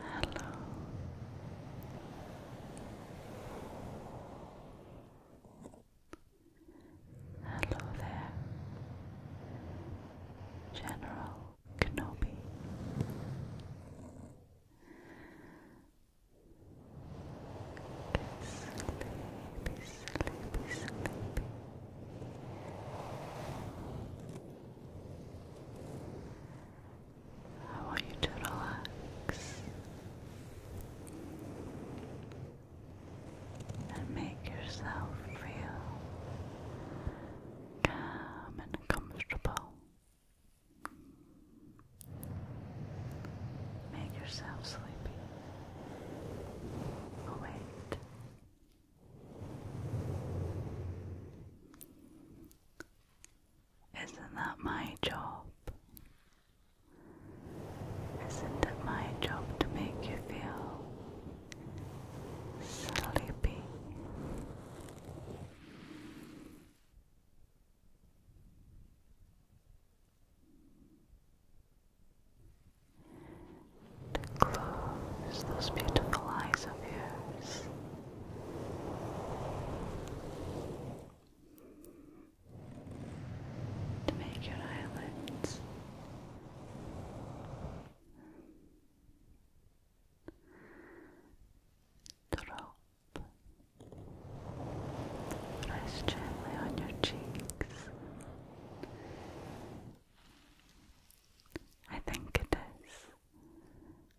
Hello. Hello there, General Kenobi sleepy, I want you to relax and make yourself feel calm and comfortable. Make yourself sleepy. Oh, wait. Isn't that my job? Isn't it my job to make you feel sleepy? to close those beautiful eyes of yours. To make your eyelids drop, rest gently on your cheeks. I think it is.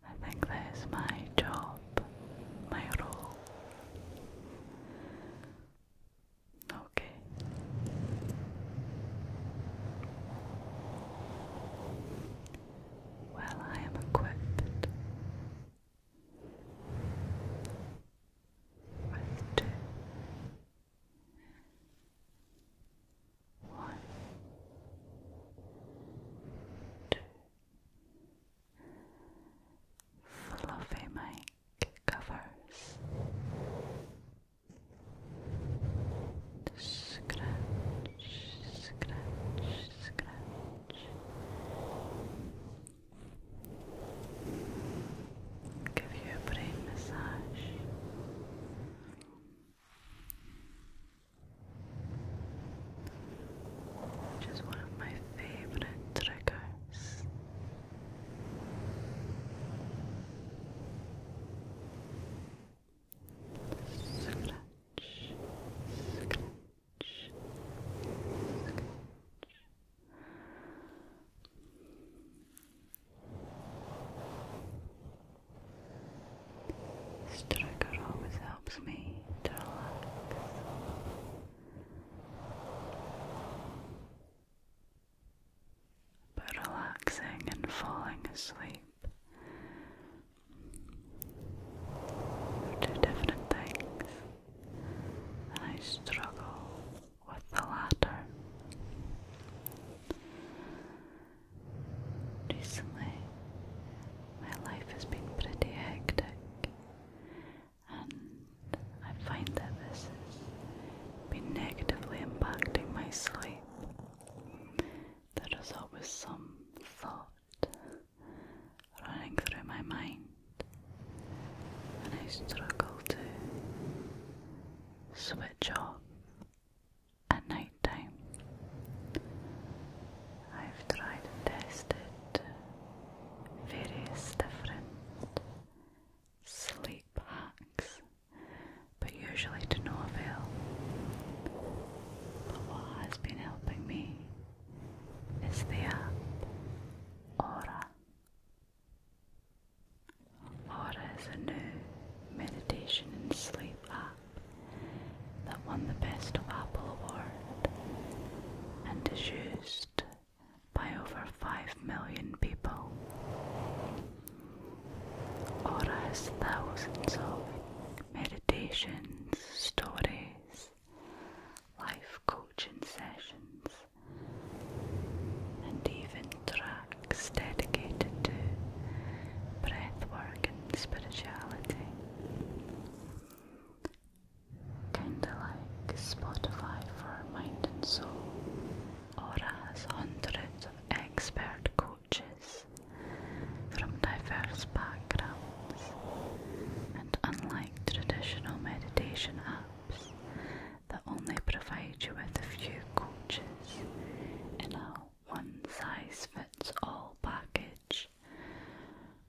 I think that is my job, my role. Okay. Well, I am equipped with two, one, two. Fluffy mic covers. Scratch, scratch, scratch. Give you a brain massage. Which is one of my favorite triggers. Scratch, scratch, Struggle always helps me to relax. But relaxing and falling asleep are different things, and I struggle with the latter. Recently, my life has been pretty hectic, and I find that this has been negatively impacting my sleep. There is always some thought running through my mind and I struggle to switch off at night I've tried and tested various different sleep hacks, but usually to no avail. But what has been helping me is the app Aura. Aura is a new meditation and sleep app that won the Best App Award and is used by over 5 million people. Aura has thousands of meditations, stories, life coaching sessions, and even tracks dedicated to breathwork and spirituality. Kinda like Spotify for Mind and Soul. Aura has hundreds of expert coaches from diverse backgrounds, and unlike traditional meditation apps, that only provide you with a few coaches in a one size fits all package.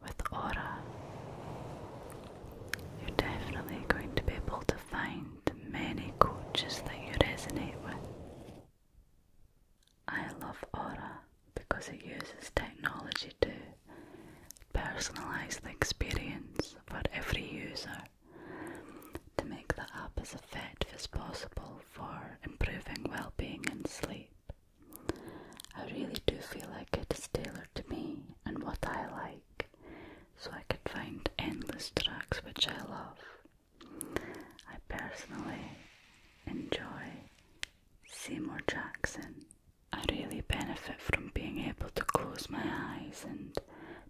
With Aura, you're definitely going to be able to find many coaches that you resonate with. I love Aura because it uses technology to personalize the experience for every user. To make that up as effective as possible for improving well being and sleep. I really do feel like it is tailored to me and what I like, so I could find endless tracks which I love. I personally enjoy Seymour Jackson. I really benefit from being able to close my eyes and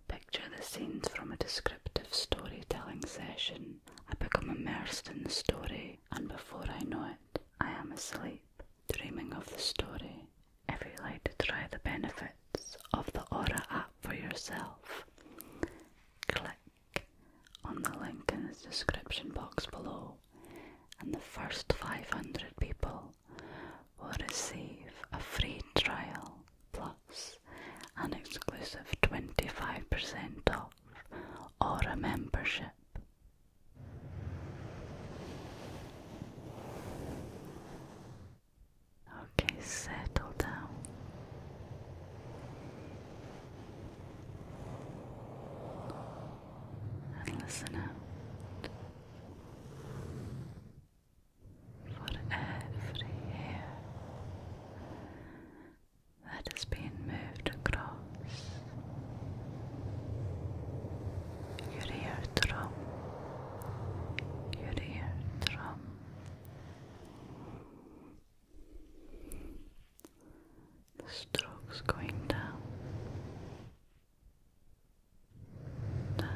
Picture the scenes from a descriptive storytelling session. I become immersed in the story, and before I know it, I am asleep, dreaming of the story. If you would like to try the benefits of the Aura app for yourself, click on the link in the description box below, and the first 500 people will receive a free trial plus an exclusive 25% off or a membership. Okay, settle down. And listen out for every hair that is being moved across your eardrum, your eardrum. The strokes going down, down,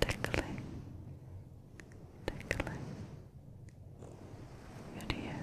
Tickling, tickling your ears.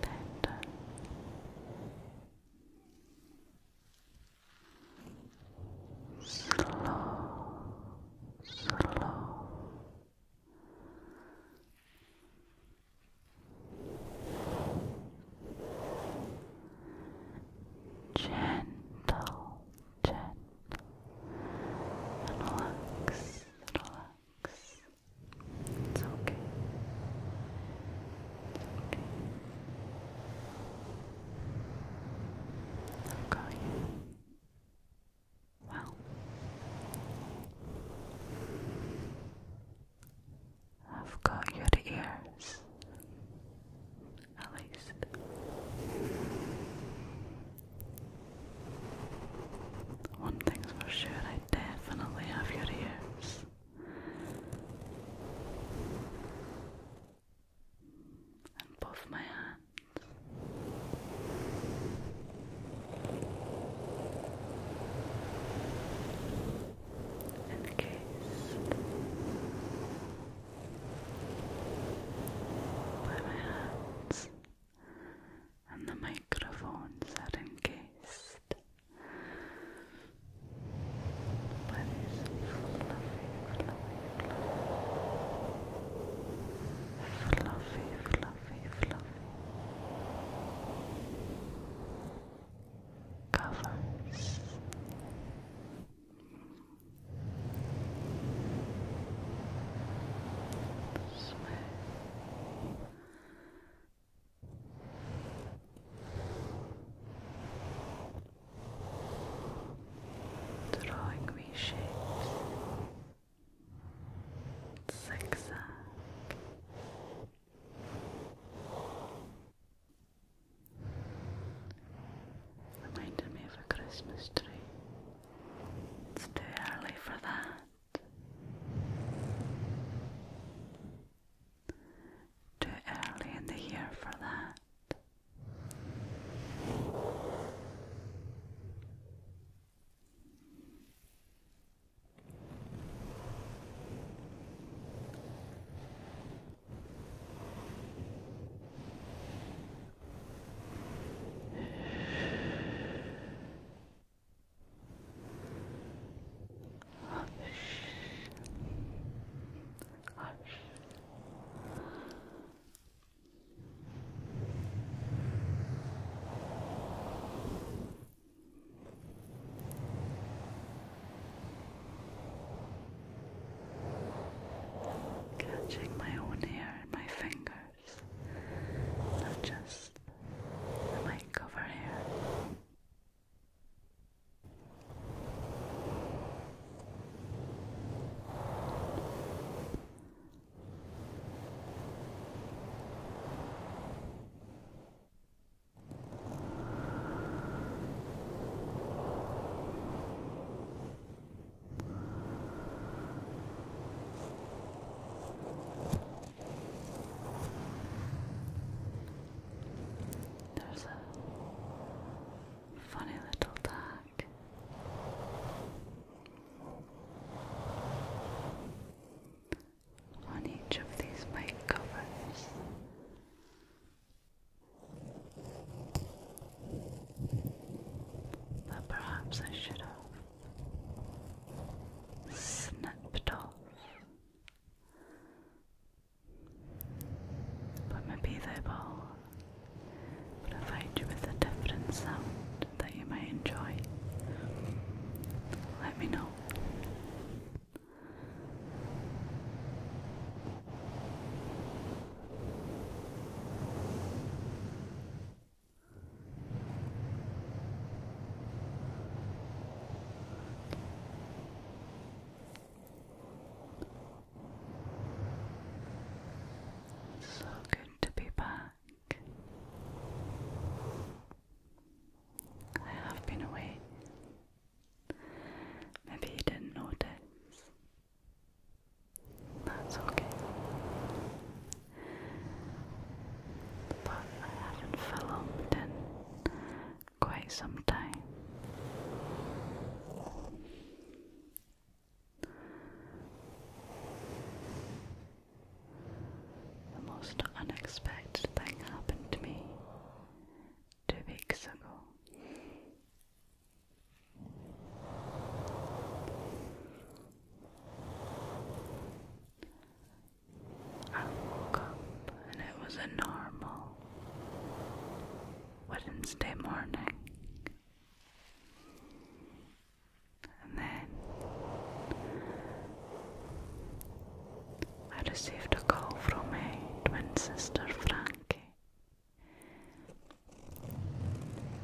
better. Slow, slow. Gentle, gentle, and relax, it's okay. It's okay. Well, I've got your ears, at least. One thing's for sure, I definitely have your ears. And both my hands. Encased by my hands and the microphones are encased by these fluffy, fluffy, fluffy, fluffy, fluffy covers. Smooth drawing me shapes, zigzag. Reminded a Christmas tree. It's too early for that. Too early in the year for that. Hush. Hush. Catching my own hair in my fingers not just the mic over here. There's a funny little dog. On each of these mic covers. But perhaps I should have Snipped off. But maybe they will provide you with a different sound that you might enjoy. Let me know. So good to be back. I have been away. Maybe you didn't notice. That's okay but I haven't filmed in quite some time. The most unexpected thing happened to me two weeks ago. I woke up and it was a normal Wednesday morning. And then I received a call from my twin sister Frankie.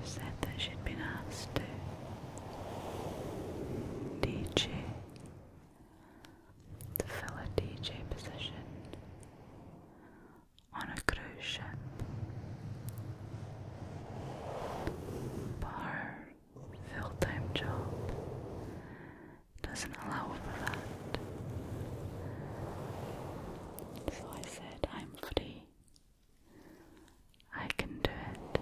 She said that she'd been asked to DJ to fill a DJ position on a cruise ship. But full time job doesn't allow for that. So I said, I'm free I can do it.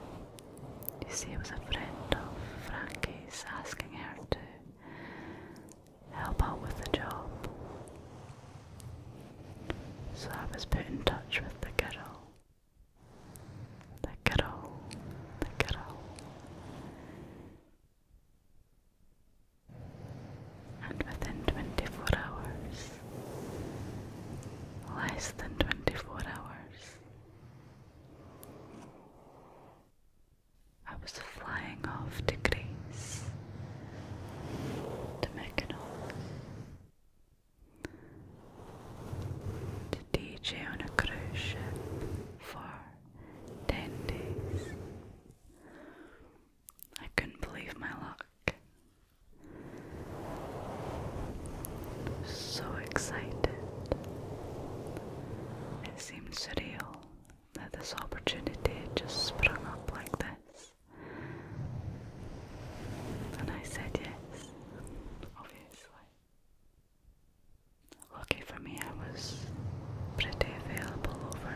You see, it was a friend of Frankie's asking her to help out with the job. So I was put in touch with the girl. The girl, the girl. And within 24 hours, less than 24 hours, I was flying off to Greece, to Mykonos, to DJ on a cruise ship for ten days. I couldn't believe my luck. So excited. It seemed surreal that this opportunity just sprung up like this. And I said yes, obviously. Lucky for me, I was pretty available over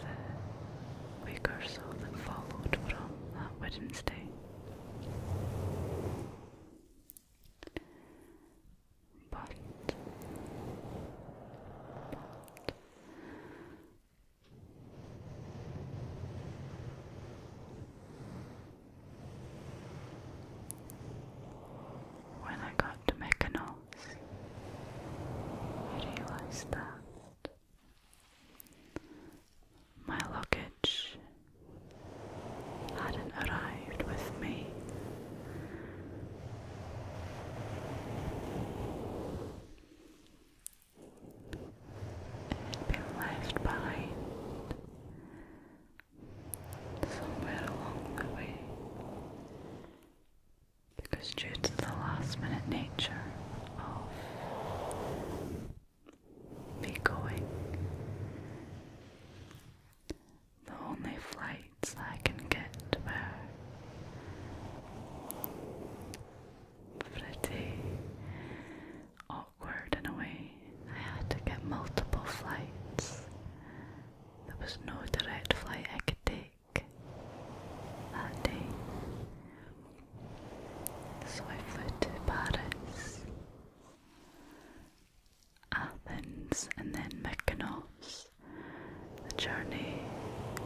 the week or so that followed from that Wednesday. But, but when I got to Mykonos, I realized that my luggage hadn't arrived with me. It had been left behind somewhere along the way because, due the last minute nature of be going. The only flights I can get were pretty awkward in a way. I had to get multiple flights. There was no direct flight I could take that day. So I flew to Paris Athens and then Mykonos. The journey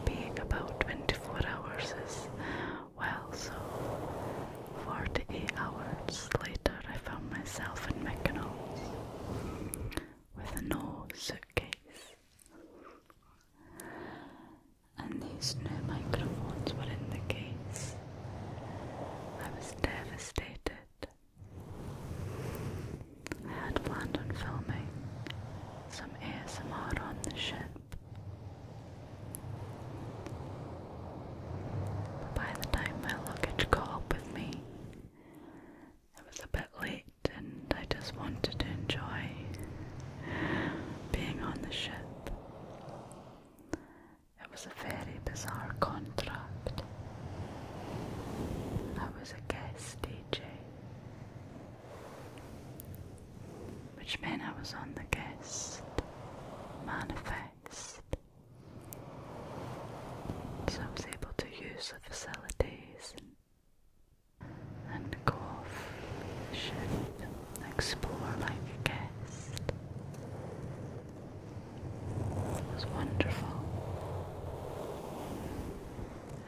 being about 24 hours is well, so 48 hours later, I found myself in Mykonos with no suitcase. And these new microphones were in the case, I was devastated. I had planned on filming some ASMR on the ship. But by the time my luggage caught up with me, it was a bit late and I just wanted to enjoy being on the ship. It was a very bizarre contract. I was a guest DJ, which meant I was on the guest manifest. So I was able to use the facilities and, go off the ship, explore like a guest. It was wonderful.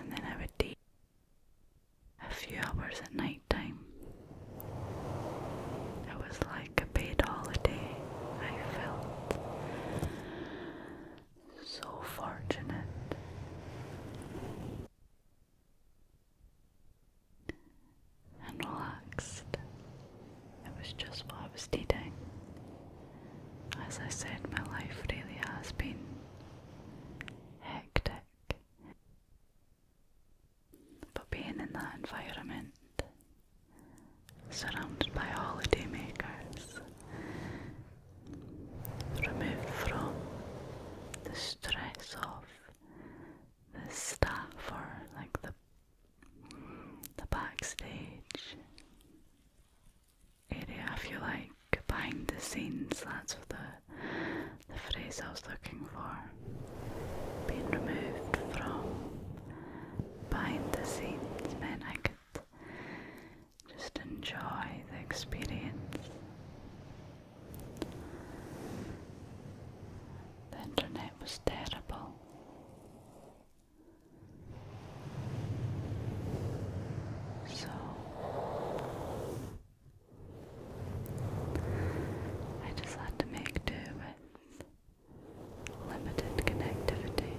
And then I would take a few hours at night It was like a paid holiday. I felt so fortunate and relaxed. It was just what I was needing. As I said, my life really has been hectic. But being in that environment, surrounded by holidaymakers, removed from the stress of the staff or like the the backstage area, if you like, behind the scenes, that's what the, the phrase I was looking for. Being removed from behind the scenes meant I could just enjoy the experience. The internet was terrible. So I just had to make do with limited connectivity,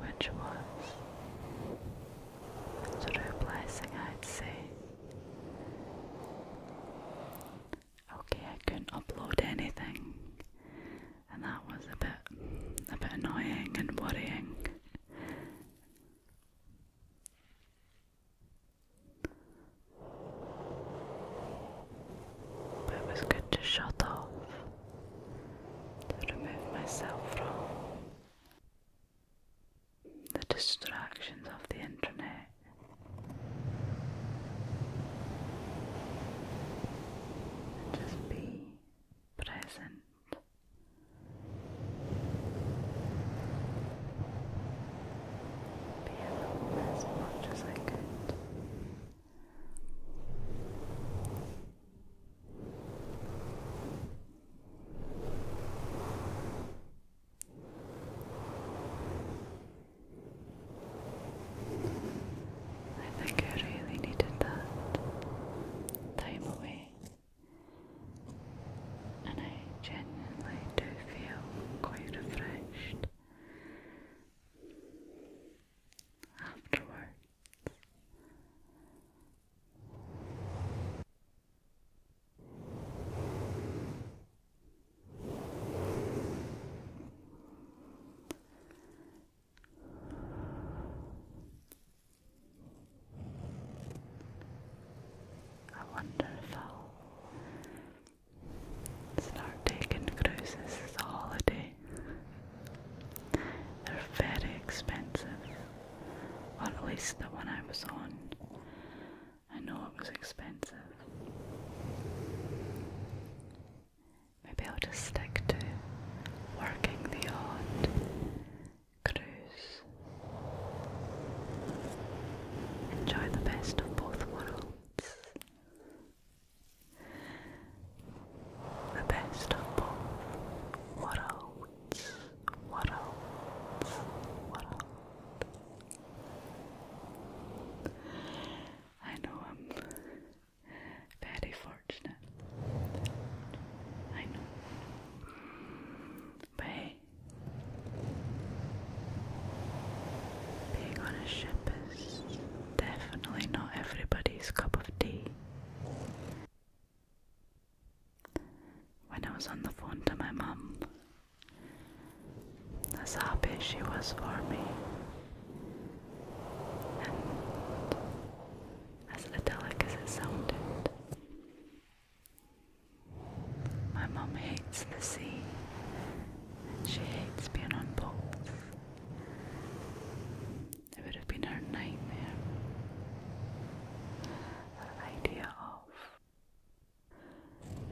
which was sort of a blessing, I'd say. Okay, I couldn't upload anything, and that was a bit, a bit annoying and worrying. But it was good to shut off, to remove myself from the distractions of the internet. just be present. Be in the moment as much as I think I really needed that time away, and I genuinely do feel quite refreshed afterwards. I wonder if I'll start taking cruises as a holiday. They're very expensive, or at least the one I was on I know it was expensive. Maybe I'll just stick to working the odd cruise. Enjoy the best of both worlds. The best of both worlds. Worlds. Worlds. I know I'm very fortunate. I know. But being on a ship is definitely not everybody's cup of tea. When I was on the phone to my mum, as happy as she was for me, and as idyllic as it sounded. My mum hates the sea, and she hates being on boats. It would have been her nightmare. The idea of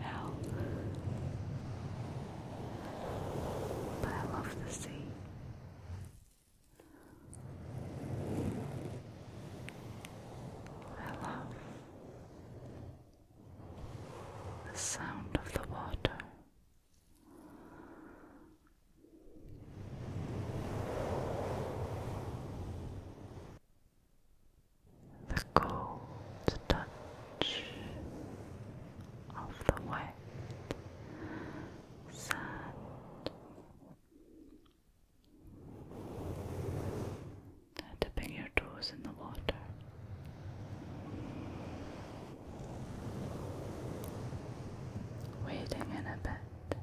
hell. But I love the sea. I love the sound of the water the cold touch of the wet sand. Dipping your toes in the water. Wading in a bit.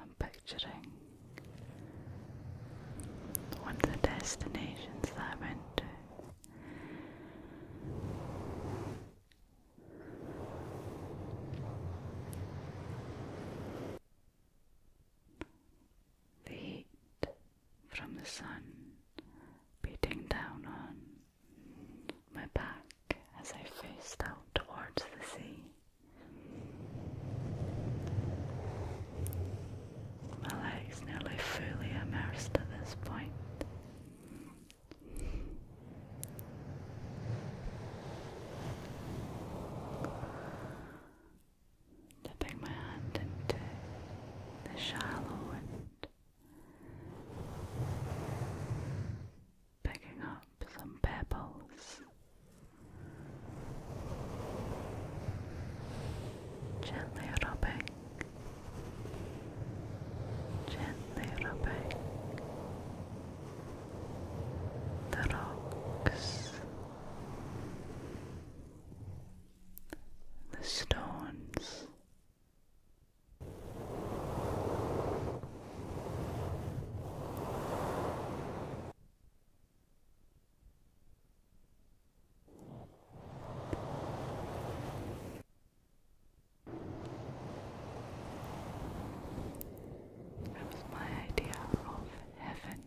I'm picturing one of the destinations I went to. The heat from the sun beating down on my back as I faced out towards the sea. My legs nearly fully immersed at this point. Dipping my hand into the shallow and picking up some pebbles. Gently rubbing, gently rubbing the rocks, the stones, that was my idea of heaven.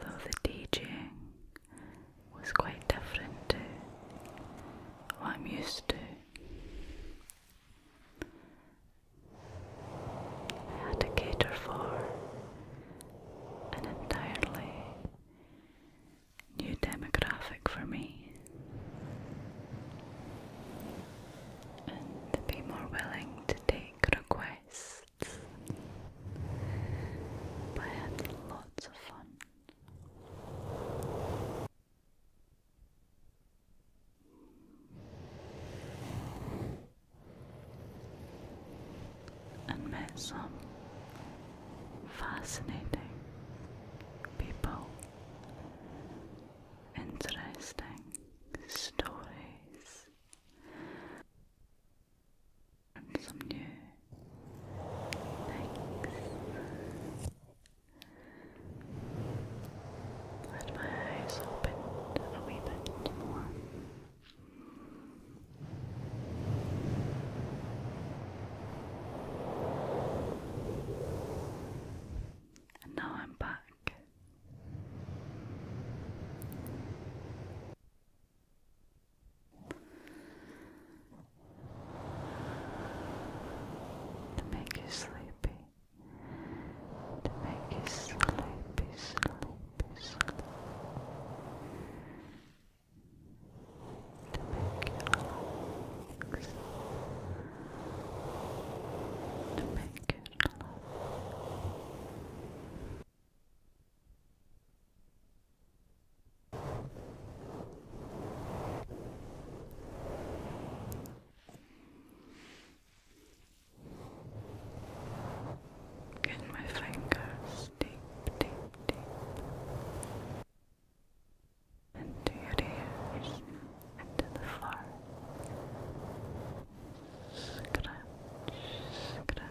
Though the teaching was quite different to what I'm used to. I had to cater for an entirely new demographic for me and be more willing to take requests but I had lots of fun. And met some fascinating people, interesting stories, some new things. Let my eyes open a wee bit more. And now I'm back to make you sleepy, to make you sleepy, sleepy, sleepy, to make you relax, to make you relax. Get my fingers deep, deep, deep into your ears, into the floor. Scratch, scratch,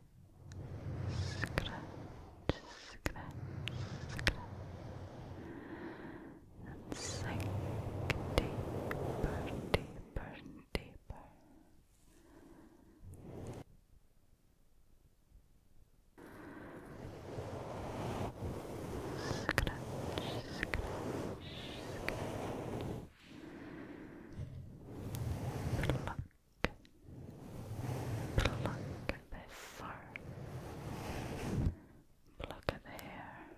scratch, scratch, scratch, and sink deeper, deeper, deeper. Scratch, scratch, scratch. Pluck, pluck at their fur, at their hair,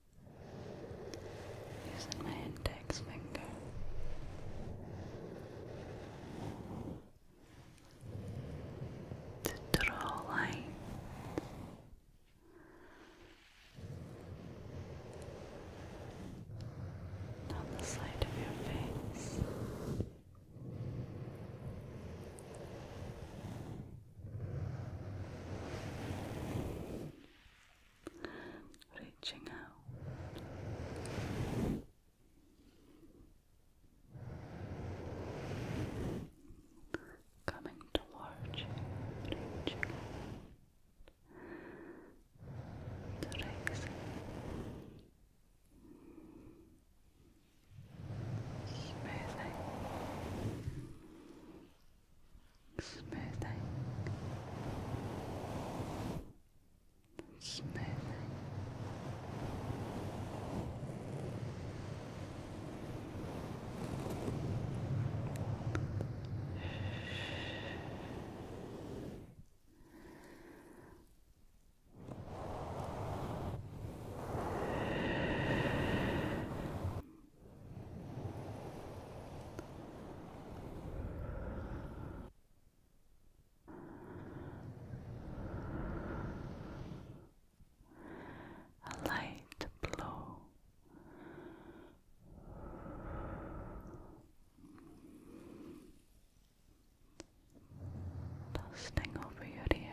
using my index finger. To draw lines on the side of your face, reaching out. Coming towards you, reaching out, relaxing, smoothing, smoothing. A light blow. Dusting over your ear.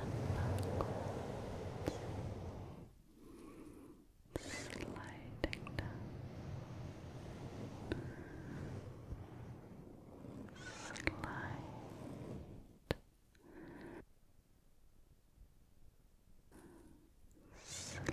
and sliding down slide Slide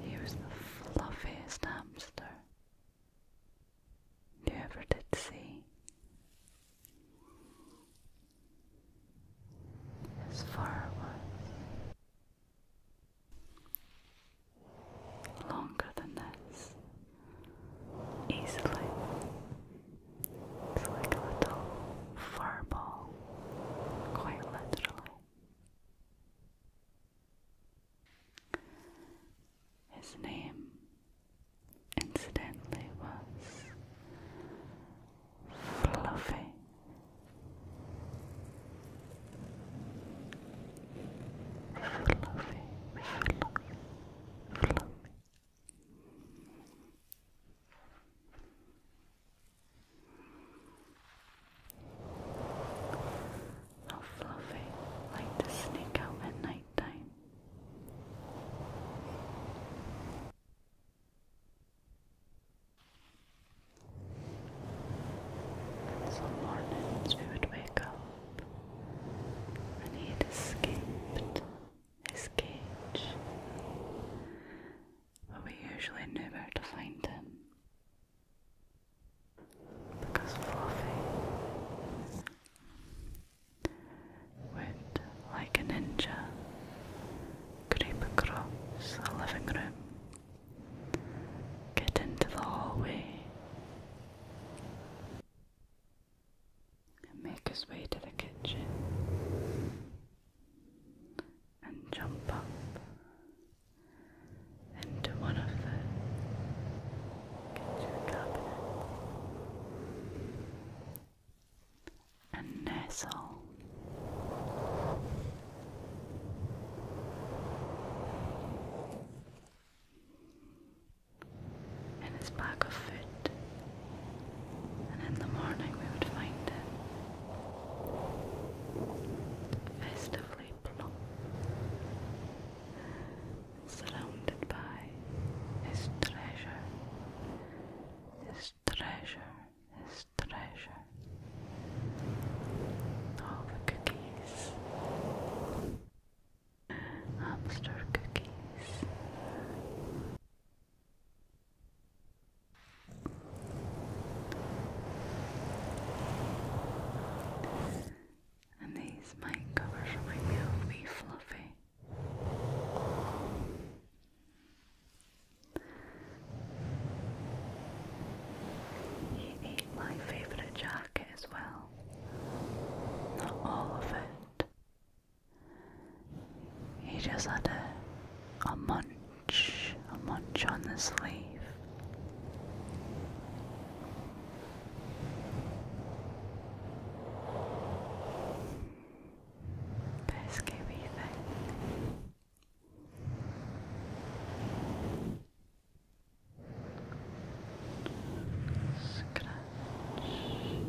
He was the fluffiest hamster you ever did see. His fur was longer than this, easily. It's like a little fur ball, quite literally. His name incidentally was Fluffy. Fluffy, fluffy, fluffy. How fluffy like to sneak out at night time. some mornings we would wake up and he'd escaped his cage but we usually knew where to find him. Because Fluffy would, like a ninja, creep across the living room, get into the hallway, and make his way to the kitchen and jump up into one of the kitchen cabinets and nestle. In his bag of food, and in the morning we would find it festively plump, surrounded by his treasure, his treasure, his treasure, all the cookies. Hamster cookies, and these mic covers remind me Fluffy. He ate my favourite jacket as well. Not all of it. He just had a, a munch munch, a munch on the sleeve. Pesky wee thing. Scratch, scratch,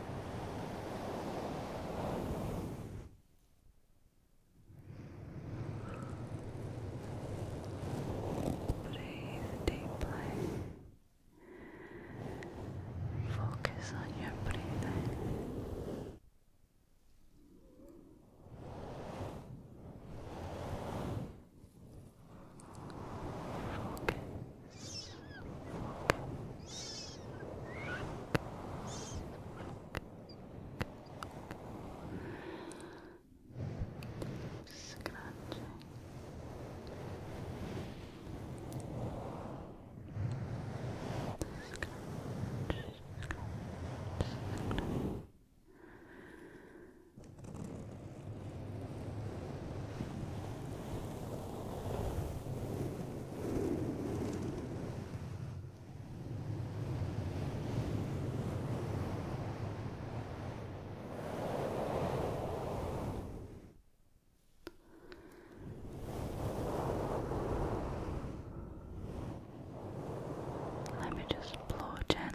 Breathe deeply. Focus on your breathing. Focus. Scratching. Scratch, scratch, scratch. Scratch, let me just blow gently.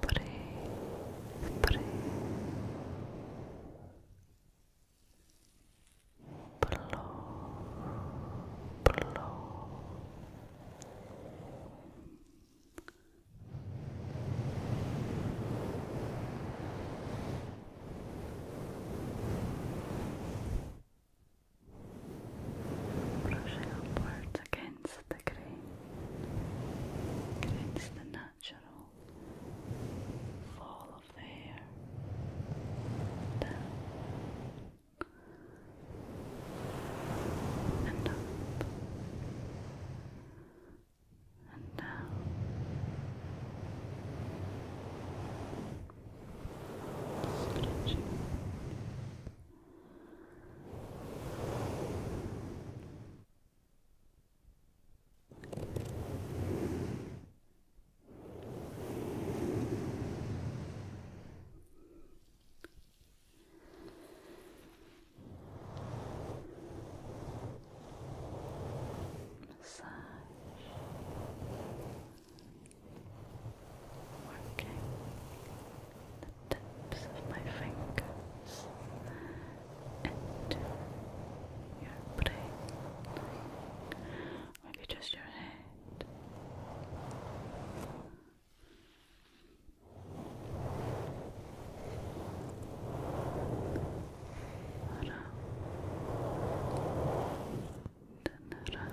Breathe, breathe. Blow, blow. Brushing upwards against the grain creates the natural fall of hair and up and down. Stretching Massage working the tips of my fingers into your brain, maybe just your head. Around and around.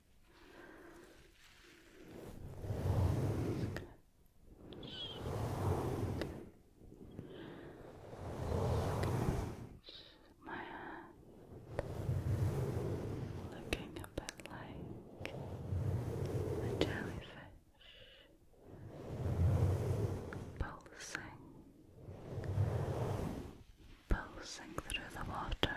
my hand, looking a bit like a jellyfish, pulsing, pulsing through the water.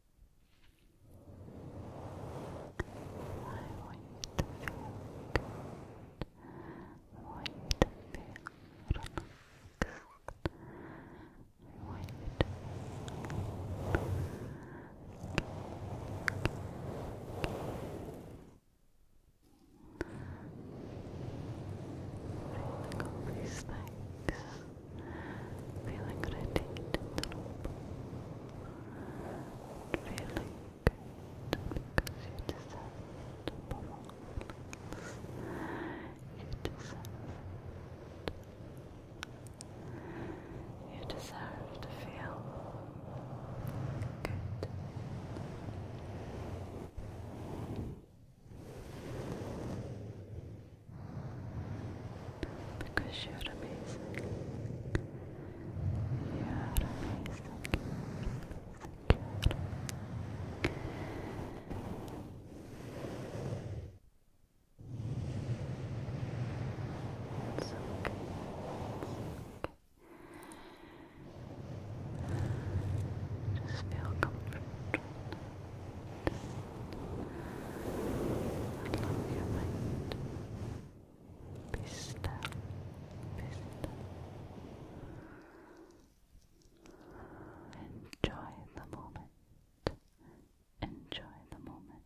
want you to feel good. I want to feel relaxed. I want to feel relaxed. all these things feeling radiant and noble, feeling good because you deserve it above all You deserve You deserve to feel good. Good. Because you're amazing. You're amazing. okay. Just feel comfortable. Along your mind. Pista. Pista. Enjoy the moment. Enjoy the moment.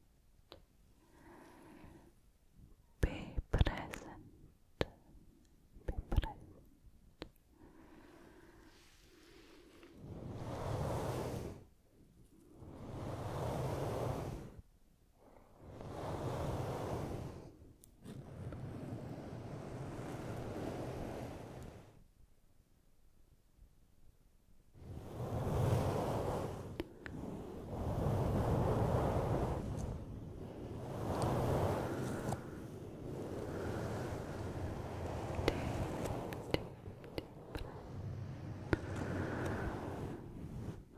Be present. Be present. Take, take,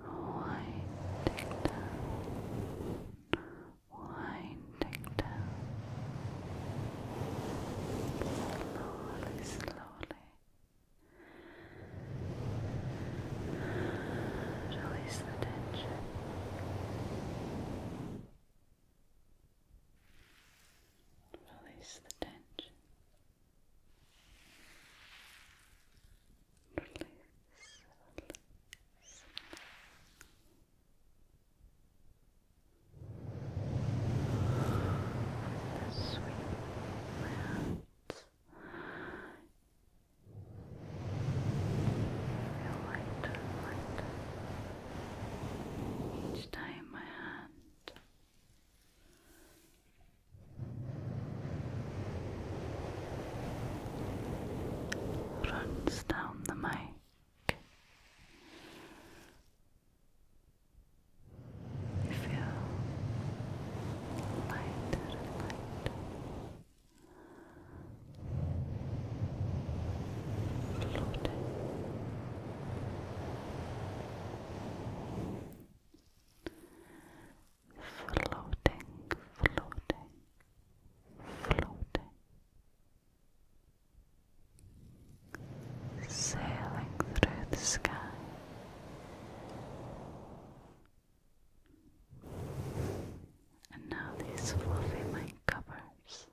Winding down, winding down. Slowly, slowly. Release the tension. Release the tension. Release, release. The sweet breath. Feel lighter, lighter. Each time my hand runs down the mic. You feel lighter and lighter. Floating floating, floating, floating, sailing through the sky. And now these fluffy mic covers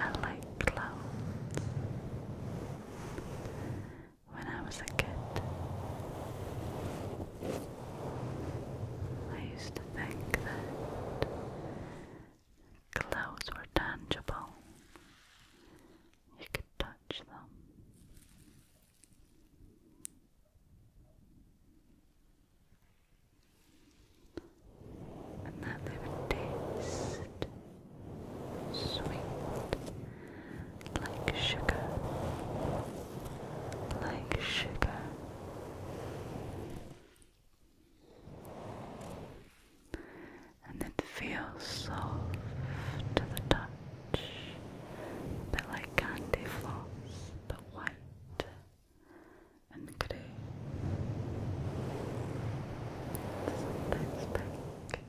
are like clouds when I was a kid. I used to think that clothes were tangible. You could touch them. And that they would taste sweet like sugar, like sugar. And it feels soft to the touch, a like candy floss, but white and grey. Sometimes pink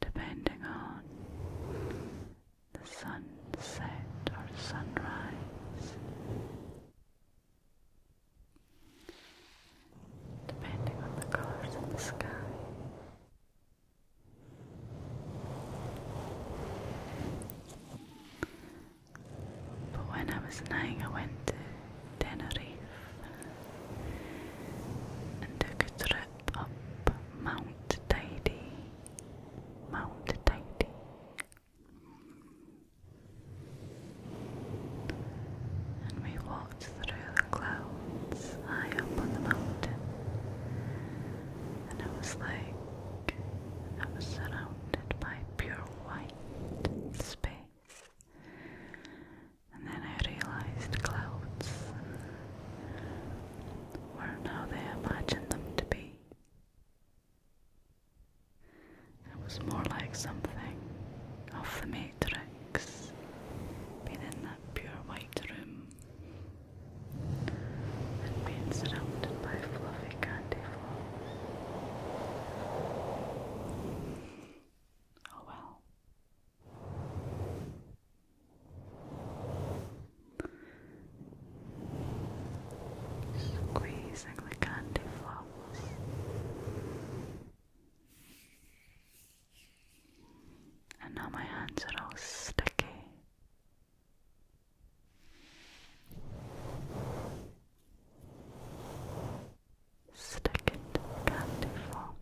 depending on the sunset or sunrise, depending on the colors in the sky. But when I was nine, I went to Tenerife and took a trip up Mount Tidy. Mount Tidy. And we walked through the clouds high up on the mountain. And it was like I was surrounded by pure white space and then I realized clouds weren't how they imagined them to be. It was more like something of the Matrix, being in that pure white room and being surrounded by fluffy candy floss. Oh well. Squeezing the candy flowers. And now my hands are all sticky. Stacket candiforms.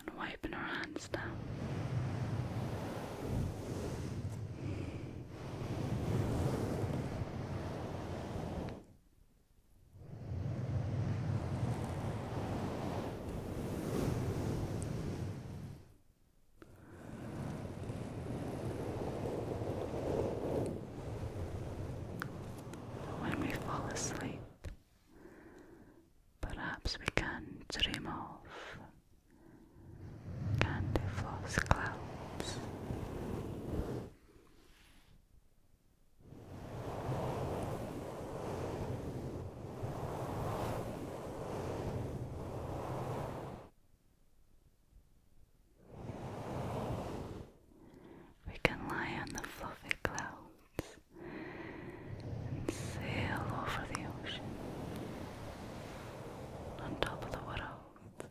And wiping our hands down. When we fall asleep, perhaps we can dream of candy clouds. We can lie on the fluffy clouds and sail over the ocean on top of the world.